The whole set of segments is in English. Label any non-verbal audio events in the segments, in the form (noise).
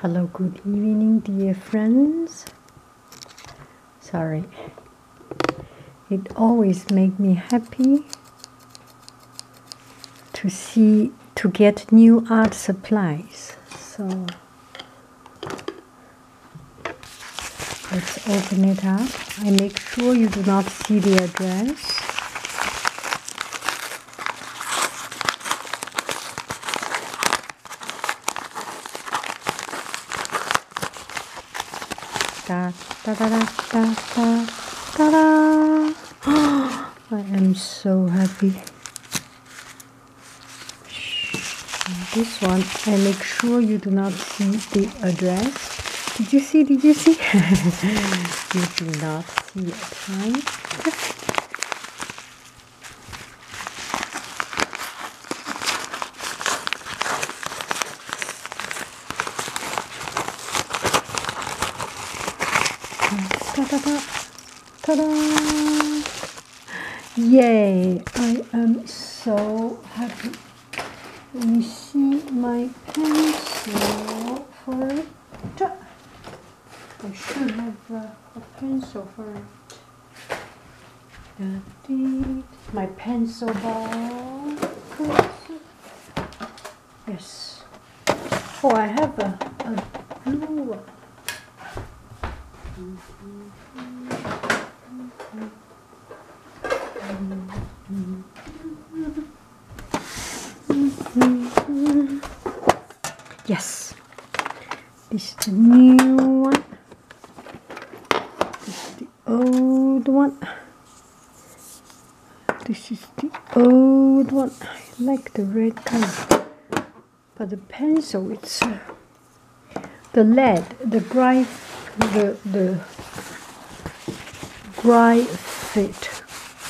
Hello, good evening, dear friends. Sorry, it always makes me happy to see to get new art supplies. So let's open it up. I make sure you do not see the address. Da, da, da, da, da, da, da, I am so happy. This one, and make sure you do not see the address. Did you see? Did you see? (laughs) you do not see Ta -da, -da. Ta -da. Yay! I am so happy. You see my pencil for I should have uh, a pencil for it. My pencil ball. Yes. Oh, I have a, a blue Yes, this is the new one. This is the old one. This is the old one. I like the red color, but the pencil it's uh, the lead, the dry, the the dry fit,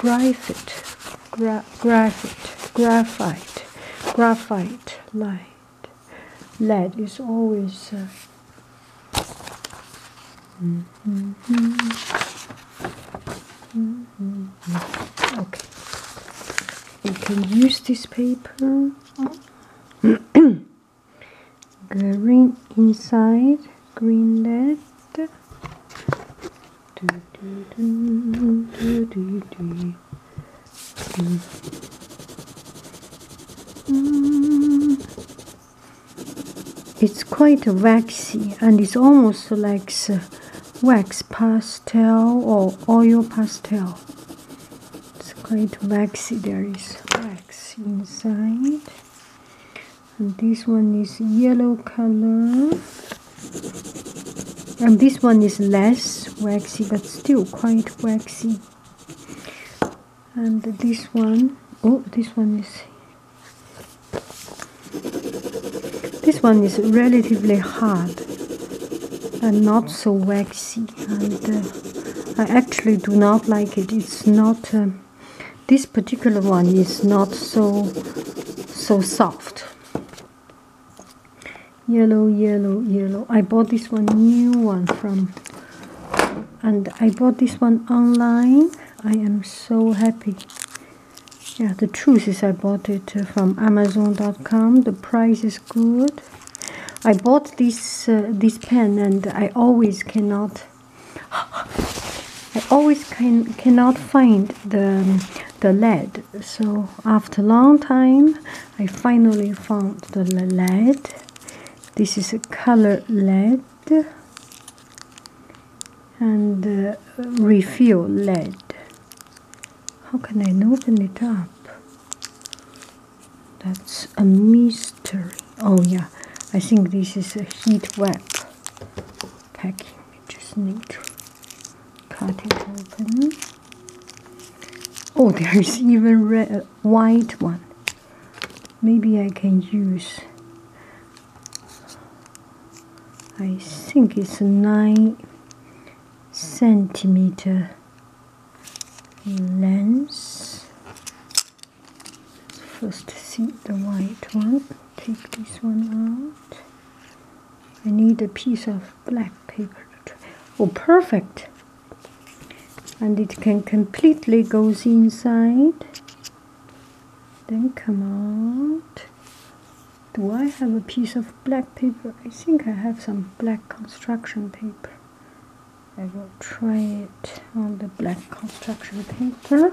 dry fit graphite, graphite, graphite, light, lead is always. Uh, mm-hmm. Mm-hmm. Mm-hmm. Okay, you can use this paper. (coughs) green inside, green lead. It's quite waxy and it's almost like wax pastel or oil pastel. It's quite waxy, there is wax inside and this one is yellow color and this one is less waxy but still quite waxy and this one oh this one is this one is relatively hard and not so waxy and uh, I actually do not like it it's not um, this particular one is not so so soft yellow yellow yellow I bought this one new one from and I bought this one online I am so happy yeah the truth is I bought it uh, from amazon.com the price is good I bought this uh, this pen and I always cannot I always can cannot find the the lead. So after a long time, I finally found the lead. This is a color lead and uh, refill lead. How can I open it up? That's a mystery. Oh yeah, I think this is a heat web packing we just need to cut it open. Oh, there is even red, white one. Maybe I can use. I think it's nine centimeter lens. First, see the white one take this one out. I need a piece of black paper. Oh, perfect! And it can completely goes inside. Then come out. Do I have a piece of black paper? I think I have some black construction paper. I will try it on the black construction paper.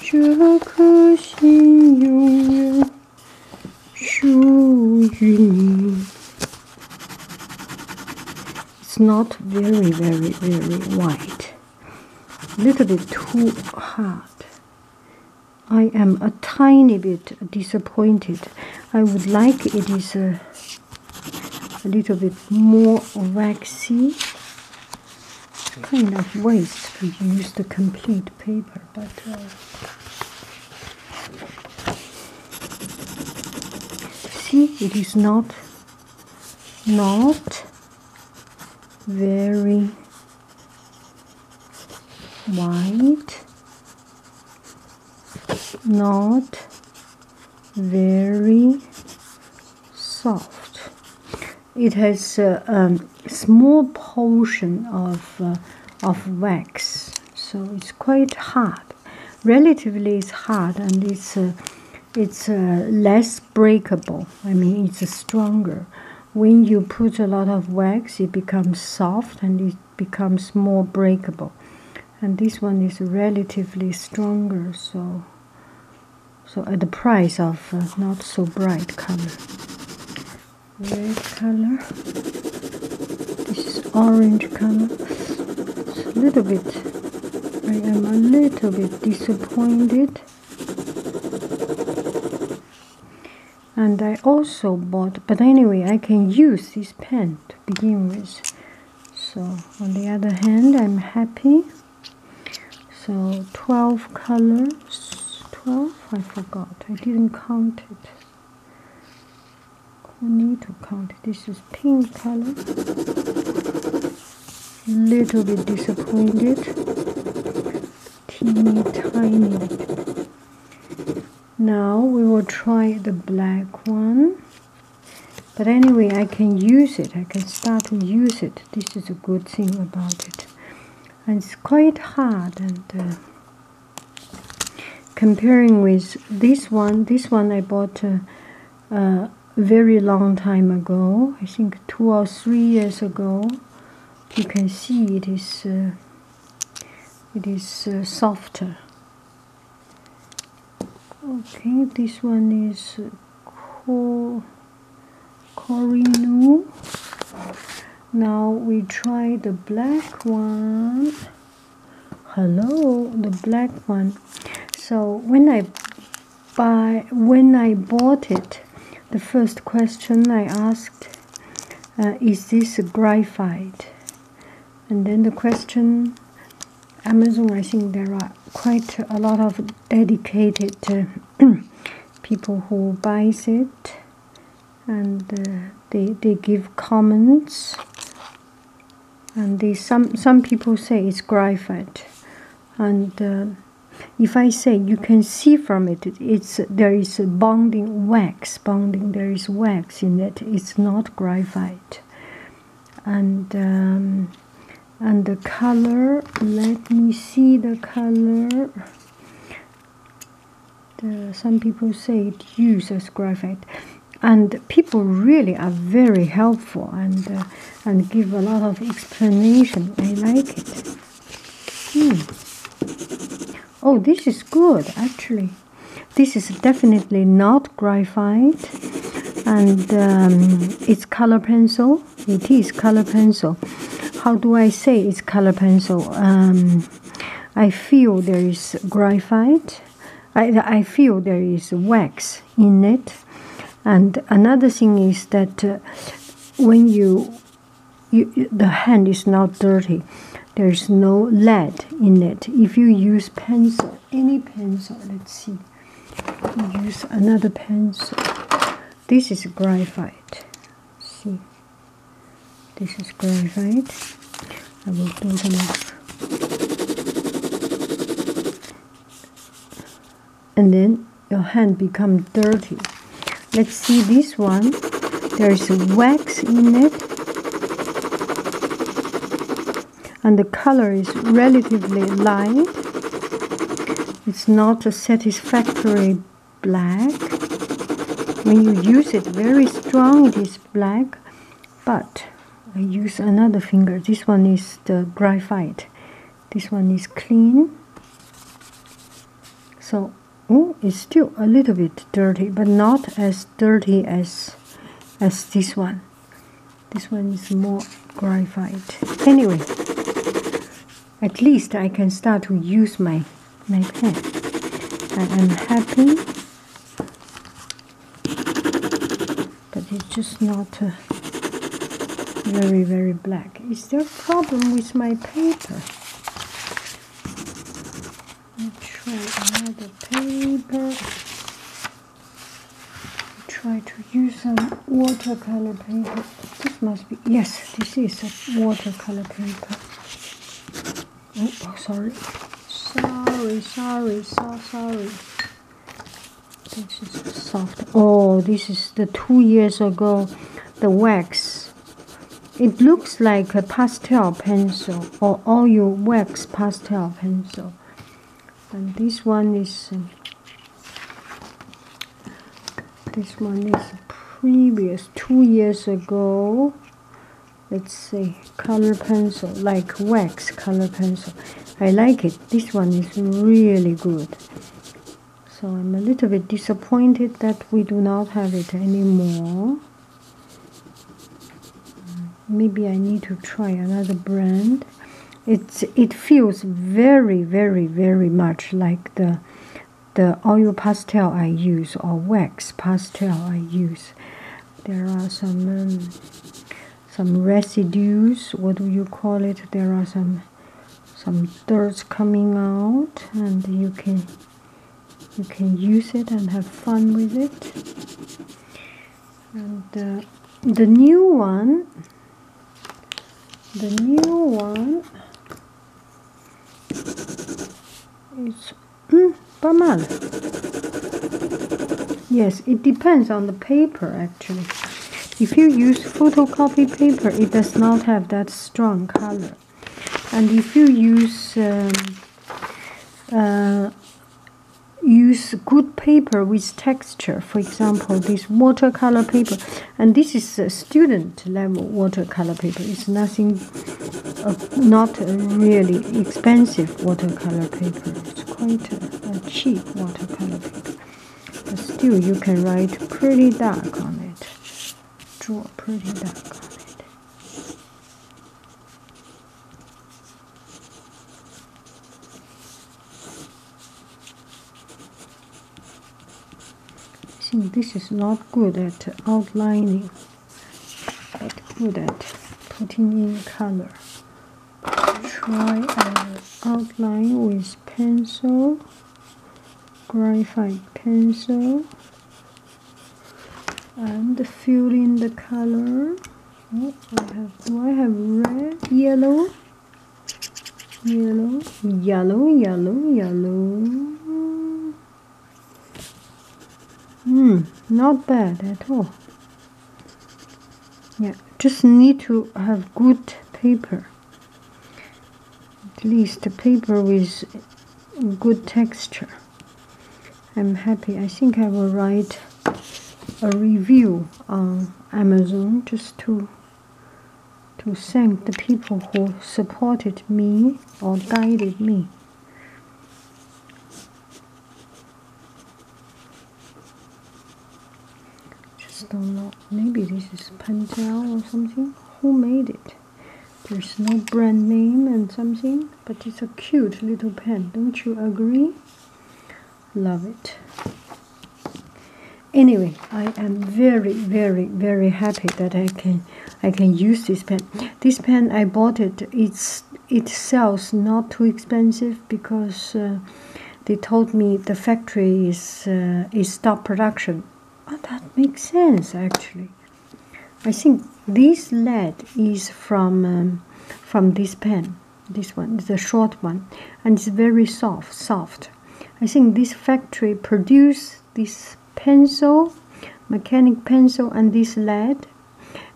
It's not very, very, very white. A little bit too hard. I am a tiny bit disappointed. I would like it is a little bit more waxy kind of waste to use the complete paper, but uh, see, it is not not very white, not very soft it has a uh, um, small portion of, uh, of wax, so it's quite hard. Relatively, it's hard and it's, uh, it's less breakable. I mean, it's stronger. When you put a lot of wax, it becomes soft and it becomes more breakable. And this one is relatively stronger, so so at uh, the price of uh, not so bright color red color this is orange color it's a little bit I am a little bit disappointed and I also bought but anyway I can use this pen to begin with so on the other hand I'm happy so 12 colors. 12? I forgot. I didn't count it. We need to count. This is pink color. Little bit disappointed. Teeny tiny Now we will try the black one. But anyway, I can use it. I can start to use it. This is a good thing about it and it's quite hard and uh, comparing with this one this one i bought a uh, uh, very long time ago i think two or three years ago you can see it is it is softer okay this one is cool Corino. Now we try the black one. Hello, the black one. So when I buy, when I bought it, the first question I asked, uh, is this graphite? And then the question, Amazon, I think there are quite a lot of dedicated uh, (clears throat) people who buys it and uh, they, they give comments and they, some, some people say it's graphite and uh, if I say you can see from it it's there is a bonding wax bonding there is wax in it it's not graphite and um, and the color let me see the color some people say it uses graphite and people really are very helpful and uh, and give a lot of explanation i like it hmm. oh this is good actually this is definitely not graphite and um, it's color pencil it is color pencil how do i say it's color pencil um, i feel there is graphite I, I feel there is wax in it and another thing is that uh, when you the hand is not dirty there's no lead in it if you use pencil any pencil let's see use another pencil. This is graphite. See, this is graphite. I will do them off, And then your hand become dirty. Let's see this one. There is wax in it. And the color is relatively light. It's not a satisfactory black. When you use it very strong, it is black, but I use another finger. This one is the graphite. This one is clean. So, oh, it's still a little bit dirty, but not as dirty as as this one. This one is more graphite. Anyway, at least I can start to use my, my pen. I'm happy. But it's just not uh, very, very black. Is there a problem with my paper? Let's try another paper try to use some watercolor paper. This must be, yes, this is a watercolor paper. Oh, oh, sorry. Sorry, sorry, so sorry. This is soft. Oh, this is the two years ago, the wax. It looks like a pastel pencil or oil wax pastel pencil and this one is uh, this one is previous two years ago let's see color pencil like wax color pencil I like it this one is really good so I'm a little bit disappointed that we do not have it anymore maybe I need to try another brand pigment it feels very very very much like the the oil pastel I use or wax pastel I use there are some um, some residues what do you call it there are some some dirt coming out and you can you can use it and have fun with it and uh, the new one the new one it's mm, Bamal. Yes, it depends on the paper actually. If you use photocopy paper, it does not have that strong color. And if you use um, uh, use good paper with texture. For example, this watercolor paper, and this is a student level watercolor paper. It's nothing, uh, not really expensive watercolor paper. It's quite a, a cheap watercolor paper, but still you can write pretty dark on it. Draw pretty dark on it. I think this is not good at outlining, but good at putting in color. Try and outline with pencil, graphite pencil, and fill in the color. Oh, do I have red, yellow, yellow, yellow, yellow, yellow. Hmm, not bad at all. Yeah, just need to have good paper. At least the paper with good texture. I'm happy. I think I will write a review on Amazon just to to thank the people who supported me or guided me. Just don't know. Maybe this is Pentel or something. Who made it? There's no brand name and something, but it's a cute little pen, don't you agree? love it anyway i am very very very happy that i can i can use this pen this pen i bought it it's it sells not too expensive because uh, they told me the factory is uh, is stop production oh that makes sense actually i think this lead is from um, from this pen this one is a short one, and it's very soft. Soft. I think this factory produce this pencil, mechanic pencil, and this lead,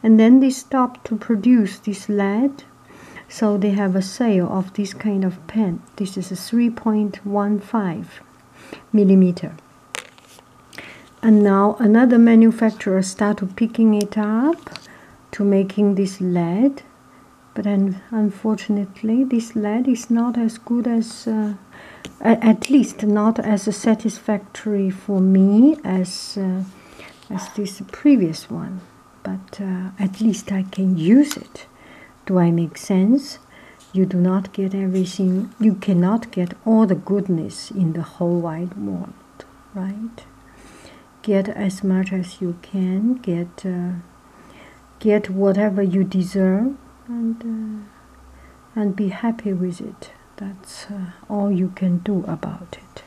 and then they stop to produce this lead. So they have a sale of this kind of pen. This is a 3.15 millimeter. And now another manufacturer started picking it up to making this lead but un unfortunately this lead is not as good as uh, at least not as satisfactory for me as uh, as this previous one but uh, at least I can use it do I make sense you do not get everything you cannot get all the goodness in the whole wide world right get as much as you can get uh, get whatever you deserve and uh, and be happy with it that's uh, all you can do about it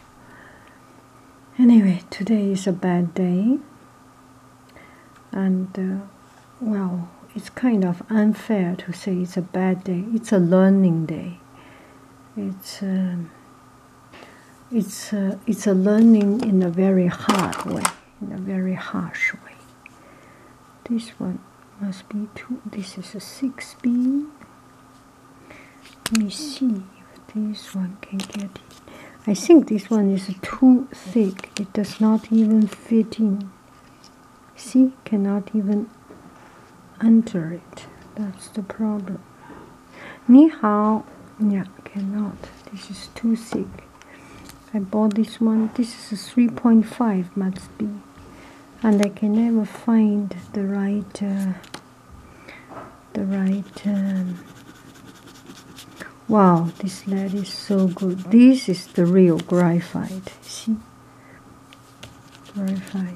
anyway today is a bad day and well it's kind of unfair to say it's a bad day it's a learning day it's um, it's a, it's a learning in a very hard way, in a very harsh way. This one must be two. This is a six beam. Let me see if this one can get it. I think this one is too thick. It does not even fit in. See, cannot even enter it. That's the problem. Ni hao. Yeah, cannot. This is too thick. I bought this one. This is a 3.5 must be. And I can never find the right, uh, the right, um, wow, this lead is so good. This is the real graphite, see? Graphite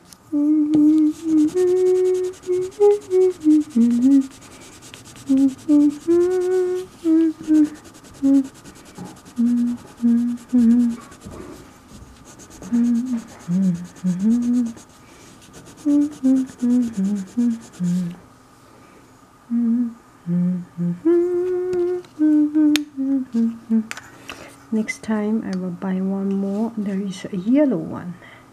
next time I will buy one more there is a yellow one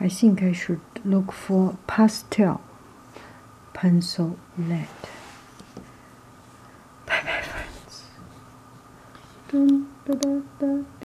I think I should look for pastel pencil lead. Bye bye friends.